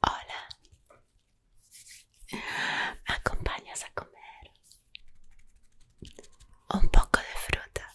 Hola. acompañas a comer? Un poco de fruta.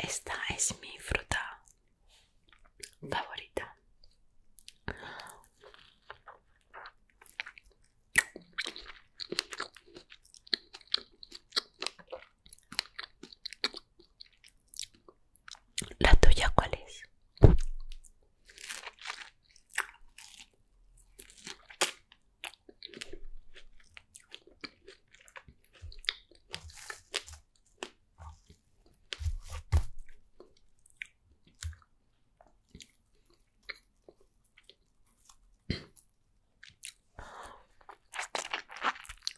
Esta es mi fruta favorita. ¿La tuya cuál es?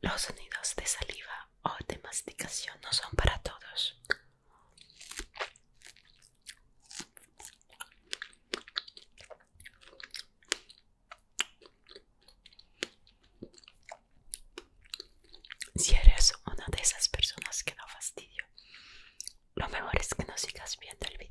Los sonidos de saliva o de masticación no son para todos. Si eres una de esas personas que da fastidio, lo mejor es que no sigas viendo el video.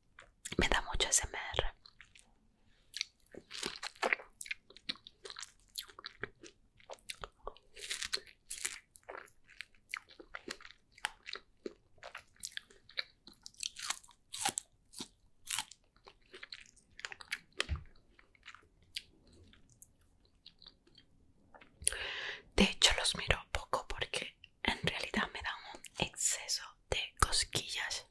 me da mucho SMR. De hecho los miro poco porque en realidad me da un exceso de cosquillas.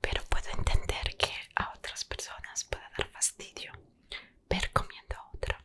Pero puedo entender que a otras personas puede dar fastidio ver comiendo a otra.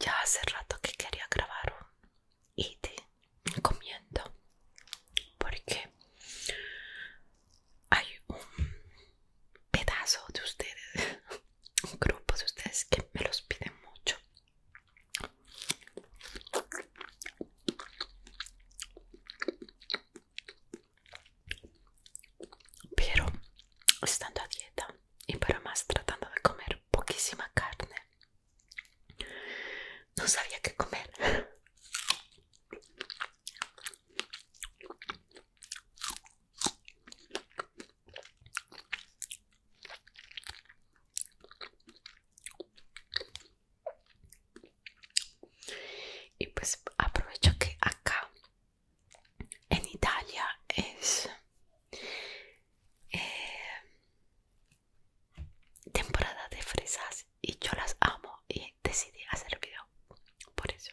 Ya hace rato que quería grabar un te comiendo porque hay un pedazo de ustedes, un grupo de ustedes que me los piden mucho. Pero estando a dieta y para más tratando de comer poquísima carne, no sabía qué comer y pues aprovecho que acá en Italia es eh, temporada de fresas y yo las amo y decidí hacer video por eso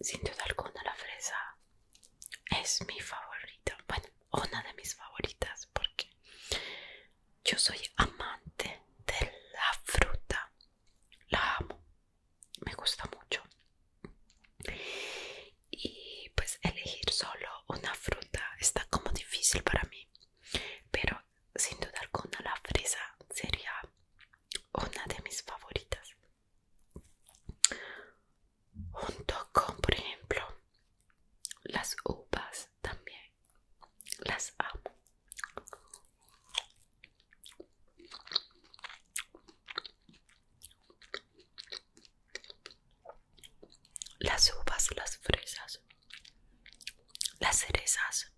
Sin duda alguna la fresa es mi favorita, bueno, una de mis favoritas porque yo soy amante de la fruta, la amo, me gusta mucho. Y pues elegir solo una fruta está como difícil para mí, pero sin duda alguna la fresa sería una de mis favoritas junto con por ejemplo las uvas también las amo las uvas las fresas las cerezas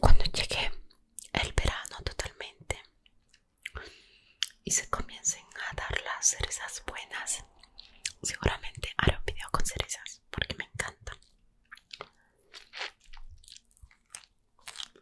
cuando llegue el verano totalmente y se comiencen a dar las cerezas buenas, seguramente haré un video con cerezas porque me encanta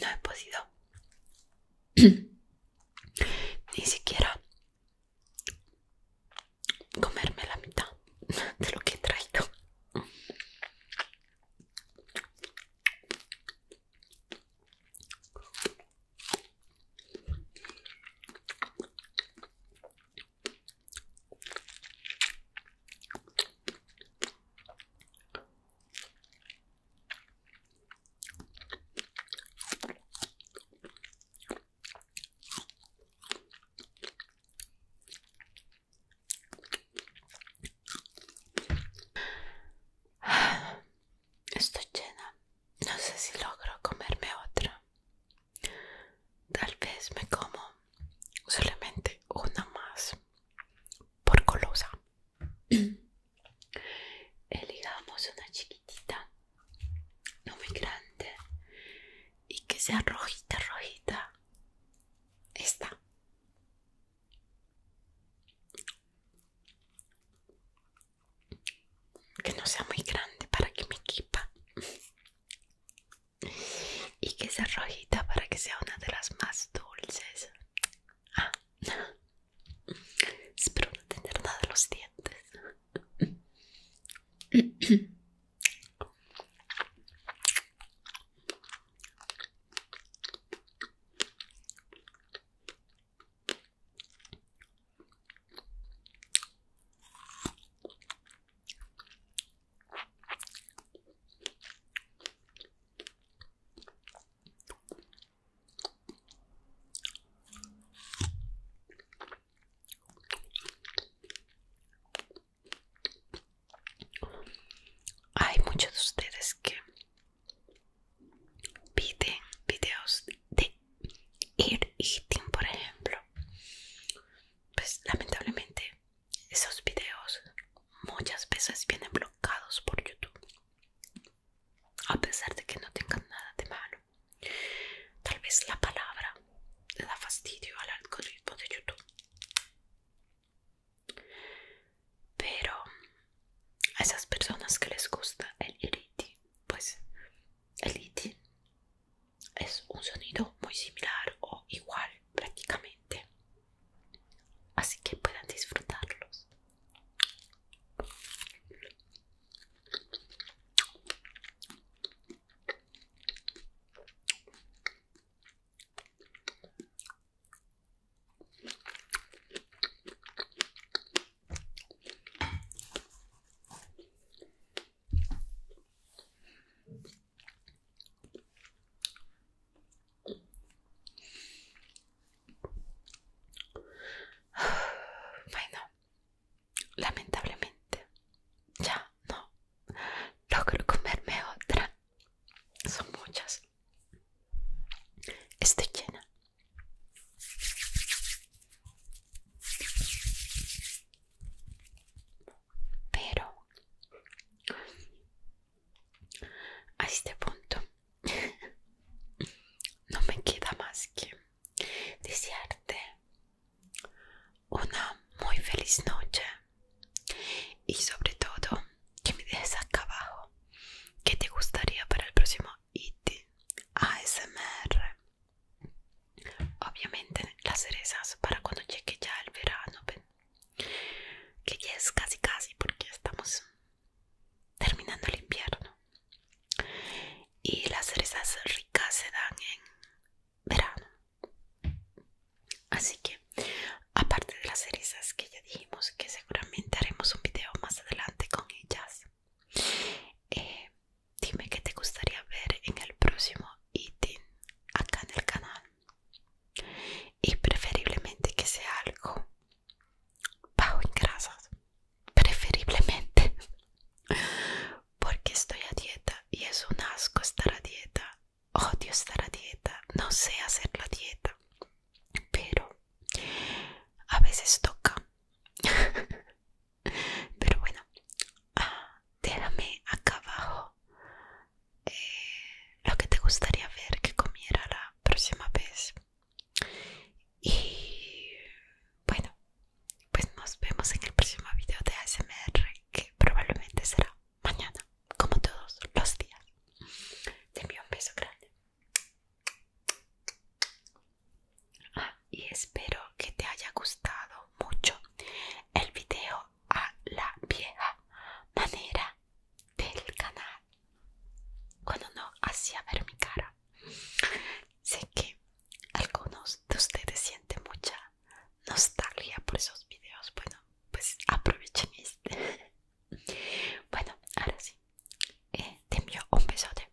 No he podido ni siquiera comerme la mitad de lo que he traído. Estoy llena. No sé si logro comerme otra. Tal vez me como solamente una más por colosa. Elegamos una chiquitita, no muy grande, y que sea rojita, rojita. Esta. Que no sea muy grande para que me quepa y que sea rojita para que sea una de las más dulces. Ah. Espero no tener nada en los dientes. Hay muchos de ustedes que piden videos de y eating, por ejemplo pues lamentablemente esos videos muchas veces vienen bloqueados por YouTube a pesar de que no tengan nada de malo tal vez la palabra le da fastidio al algoritmo de YouTube pero a esas personas que les gusta el Iriti, pues el es un sonido muy similar o igual prácticamente así que puedan disfrutarlos bueno, lamentablemente ya no logro comerme otra. Son muchas. Estoy llena. Pero a este punto no me queda más que desearte una muy feliz noche y sobre todo que me dejes acá abajo qué te gustaría para el próximo IT ASMR Obviamente las cerezas para cuando llegue ya el verano, que ya es casi casi porque estamos terminando el invierno. Y las cerezas ricas se dan en verano. Así que, aparte de las cerezas que ya dijimos que seguramente haremos un video más adelante con ellas, eh, Dime qué te gustaría ver en el próximo eating acá en el canal. Y preferiblemente que sea algo bajo en grasas. Preferiblemente. Porque estoy a dieta y es un asco estar a dieta. Odio estar a dieta. No sé hacer la dieta. Pero a veces toca. Pero bueno, ah, déjame acá abajo eh, lo que te gustaría ver que comiera la próxima vez. Y bueno, pues nos vemos en el próximo video de ASMR que probablemente será mañana, como todos los días. Te un beso grande y espero que te haya gustado mucho el video a la vieja manera del canal cuando no hacía ver mi cara sé que algunos de ustedes sienten mucha nostalgia por esos videos bueno pues aprovechen este bueno ahora sí eh, te envío un besote